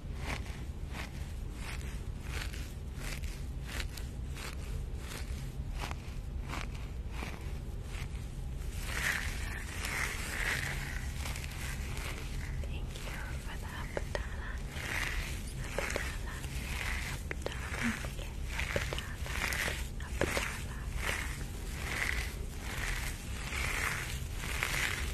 Thank you for the Abdala. Abdala. Abdala. Abdala. Abdala.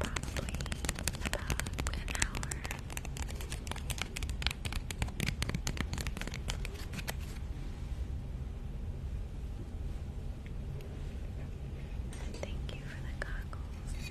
probably about an hour. Thank you for the goggles.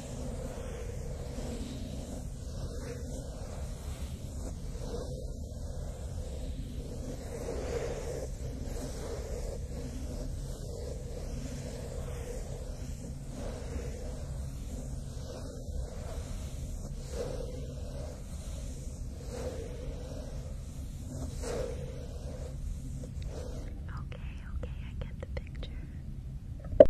Okay, okay, I get the picture.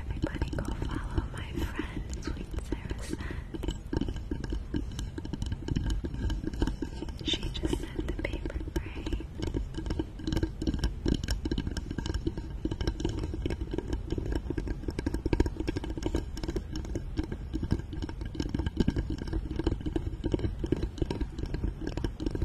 Everybody go follow my friend, Sweet Sarah Sen. She just sent the paper brain.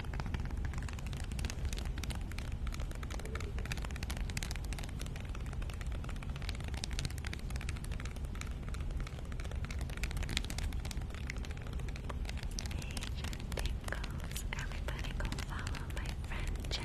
Jen Tingles. Everybody go follow my friend Jen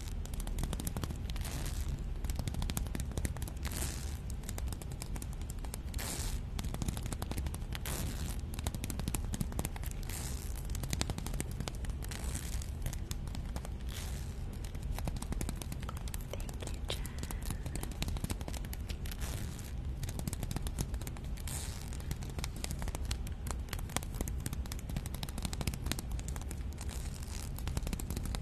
Thank you, Jen.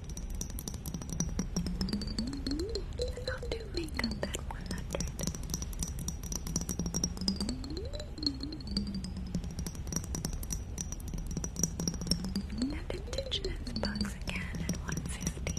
i am do makeup at 100. And indigenous bugs again at 150.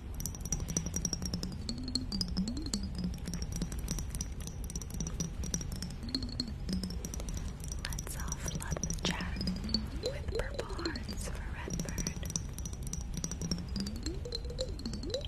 Let's all flood the chat with purple hearts for Redbird. Thank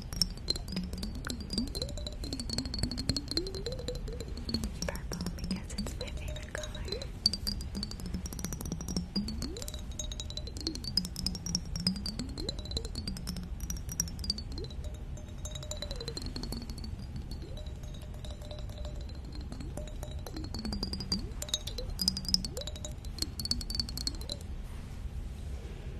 Purple because it's my favorite color.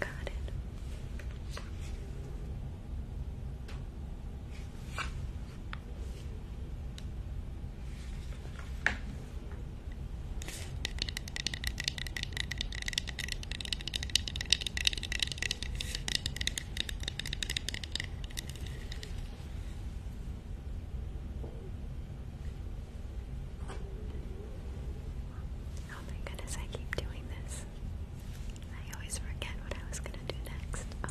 Got it. Oh my goodness, I keep doing this. I always forget what I was gonna do next. Oh.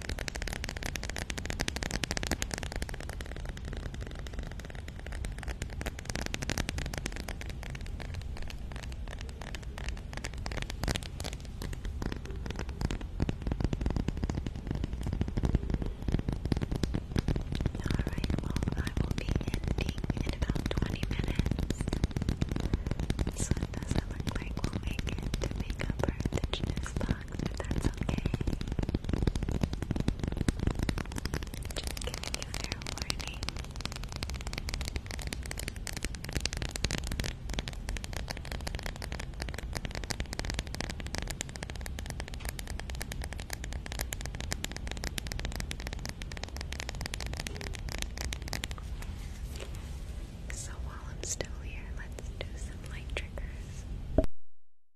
Alright, well, I will be ending in about 20 minutes. So doesn't look like we'll make it to make up our indigenous box, that's okay. Just giving you fair warning. So while I'm still here, let's do some light triggers.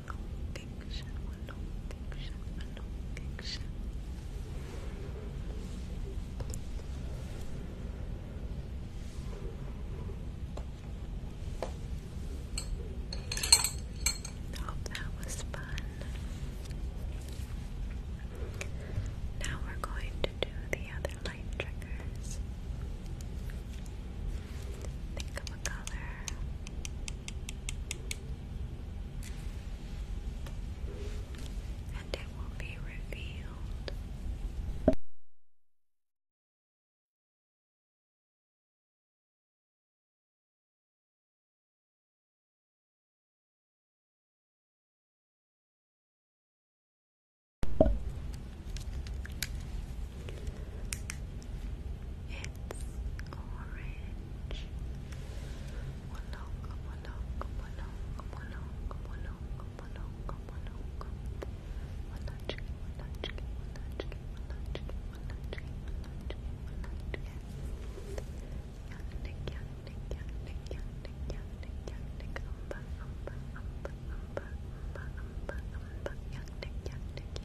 Malfunction, malfunction, malfunction. Hope that was fun. Now we're going to do the other light triggers. Think of a color and it will be revealed. It's orange. Molonga,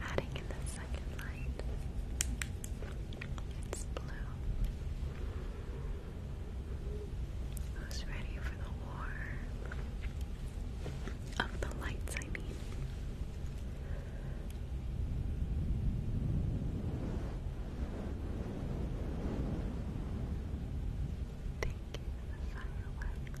Adding in the second line. It's blue. Who's ready for the war? Of the lights, I mean. Thank the fireworks.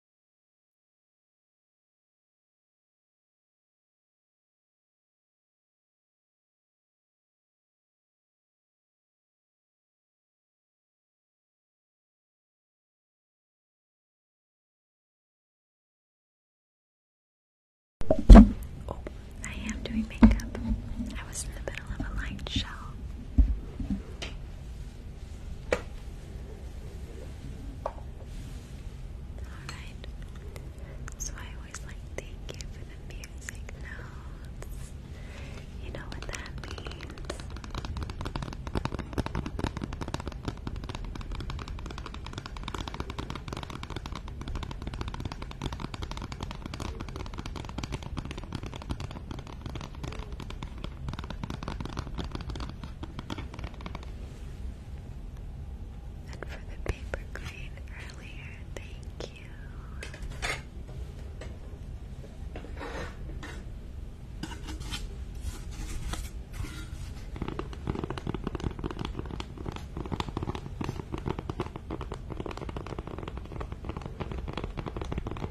Oh, I am doing makeup. I was in the middle of a light show. Alright. So I always like thank you for the music notes. You know what that means? And for the paper green earlier, thank you.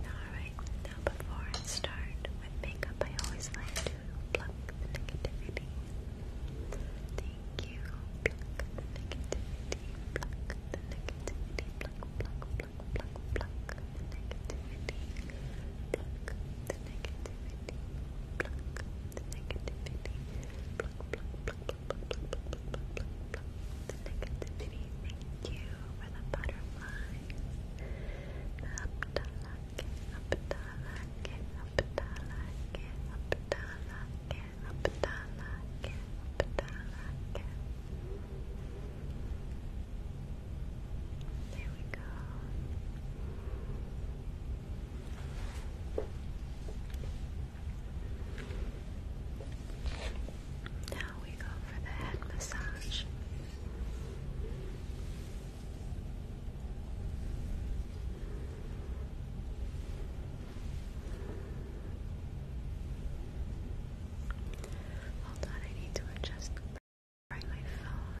Alright, now before I start with makeup, I always like to pluck the negativity. Thank you. Pluck the negativity, pluck the negativity, pluck, pluck, pluck, pluck, pluck the negativity, pluck the negativity, pluck the negativity, pluck, pluck, pluck, Negativity, thank you for the butterflies. Abdalake, Abdalake, Abdalake, Abdalake, Abdalake, Abdalake. There we go. Now we go for the head massage. Hold on, I need to adjust my phone.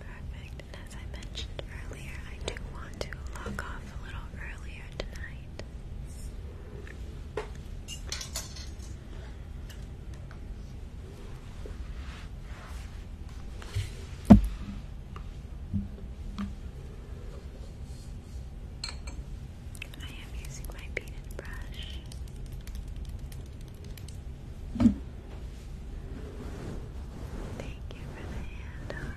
Perfect. And as I mentioned earlier, I do want to log off a little earlier tonight. I am using my peanut brush. Thank you for the hand heart.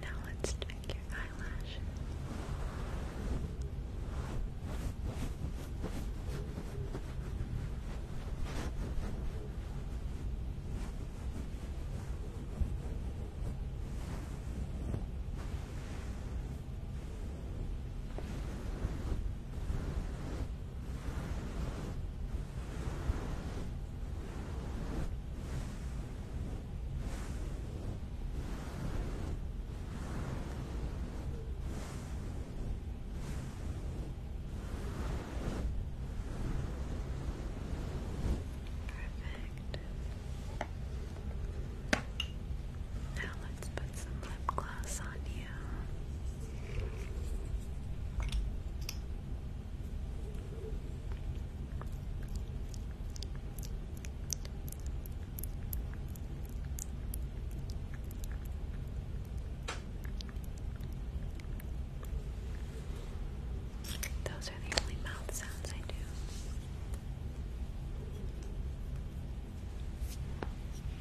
Now let's check your eyelashes. Perfect. Now let's put some lip gloss on you. Those are the only mouth sounds I do.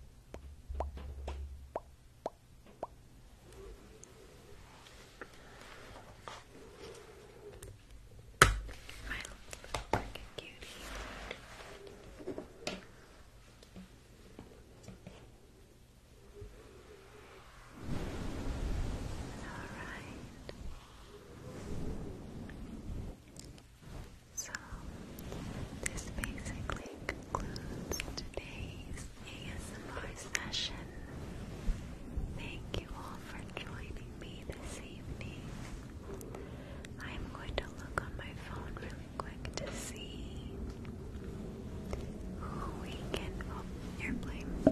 like a cutie. All right. So, this basically concludes today's ASMR session. Thank you all for joining me this evening. I'm going to look on my phone really quick to see who we can. Oh,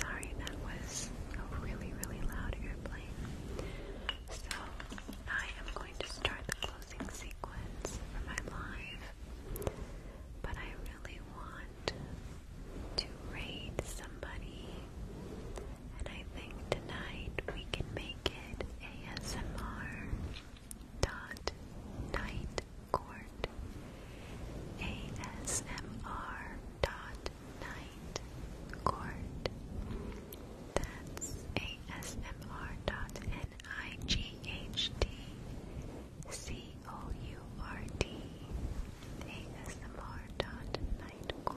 Sorry, that was really, really loud airplane. So, I am going to start the closing sequence for my live, but I really want to raid somebody, and I think tonight we can make it ASMR dot night court. ASMR dot night court. That's ASMR dot N I G H T C O U R T. dot night court.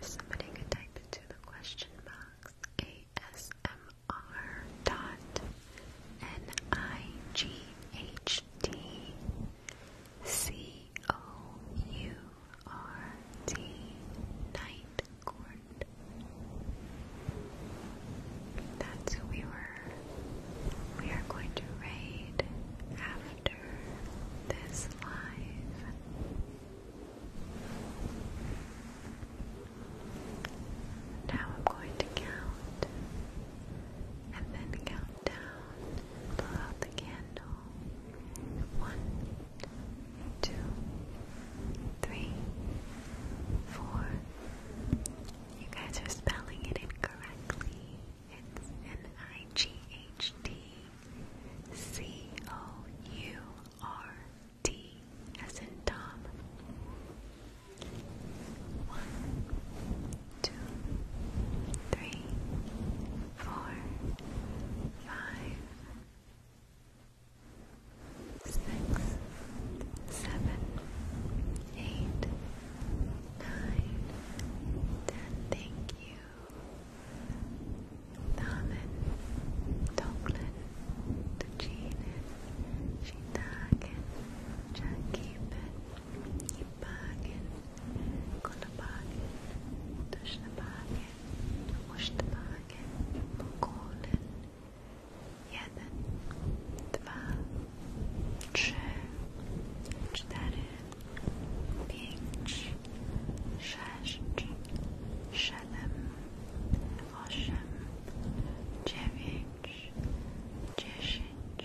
If somebody could type into the question box ASMR dot N I G H T C O U R T Night Court. That's who we were. We are going to raid after this live. Now I'm going to count and then count down blow out the candle. One, two, three, four. You guys are spelling it incorrectly. It's an as in Tom. One, two, three, four, five, six, seven, eight, nine, ten. Thank you, Thamen, Toklin, Tuchinen, Shitaken, Jackie. i bagien, kolabagien, taşlı bagien, hoşlu bagien, jeden, dwa, trzy, cztery, pięć, sześć, siedem, osiem, dziewięć, dziesięć,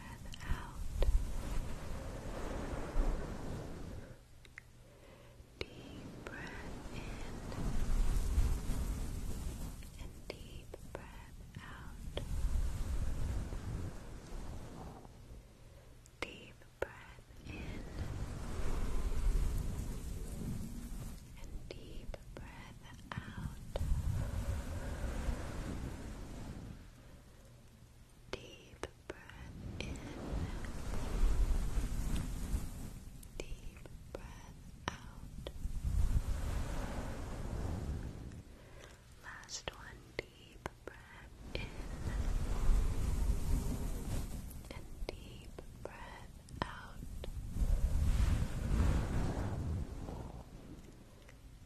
out. Deep breath in and deep breath out. Deep breath in and deep breath out. Deep breath in. Deep breath out. Last one. Deep breath in. And deep breath out.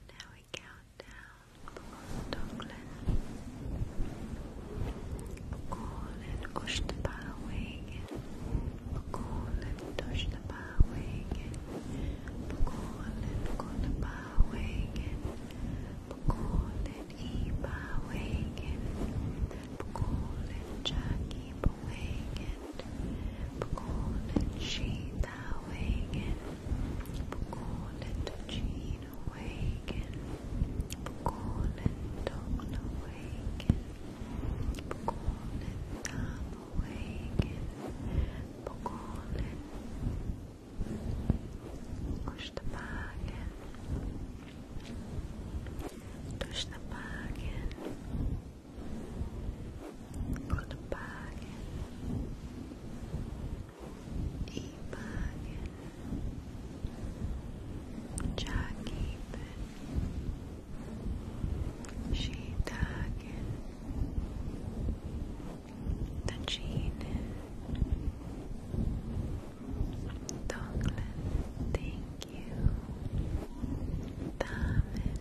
Now we count down for Dublin. Call it Ushtapawig. Call it Ushtapawig. Call it Kutapawig. Call it Ebawig. Call it Jackie Bewagan. Call it Sheetawig. بقولة جين awaken بقولة dawn awaken بقولة I'm awaken بقولة اشتباكن تشتباكن Goodbye. Imagen, Jagiben, Shidagen, Tajinen, Donglin, thank you, Damen,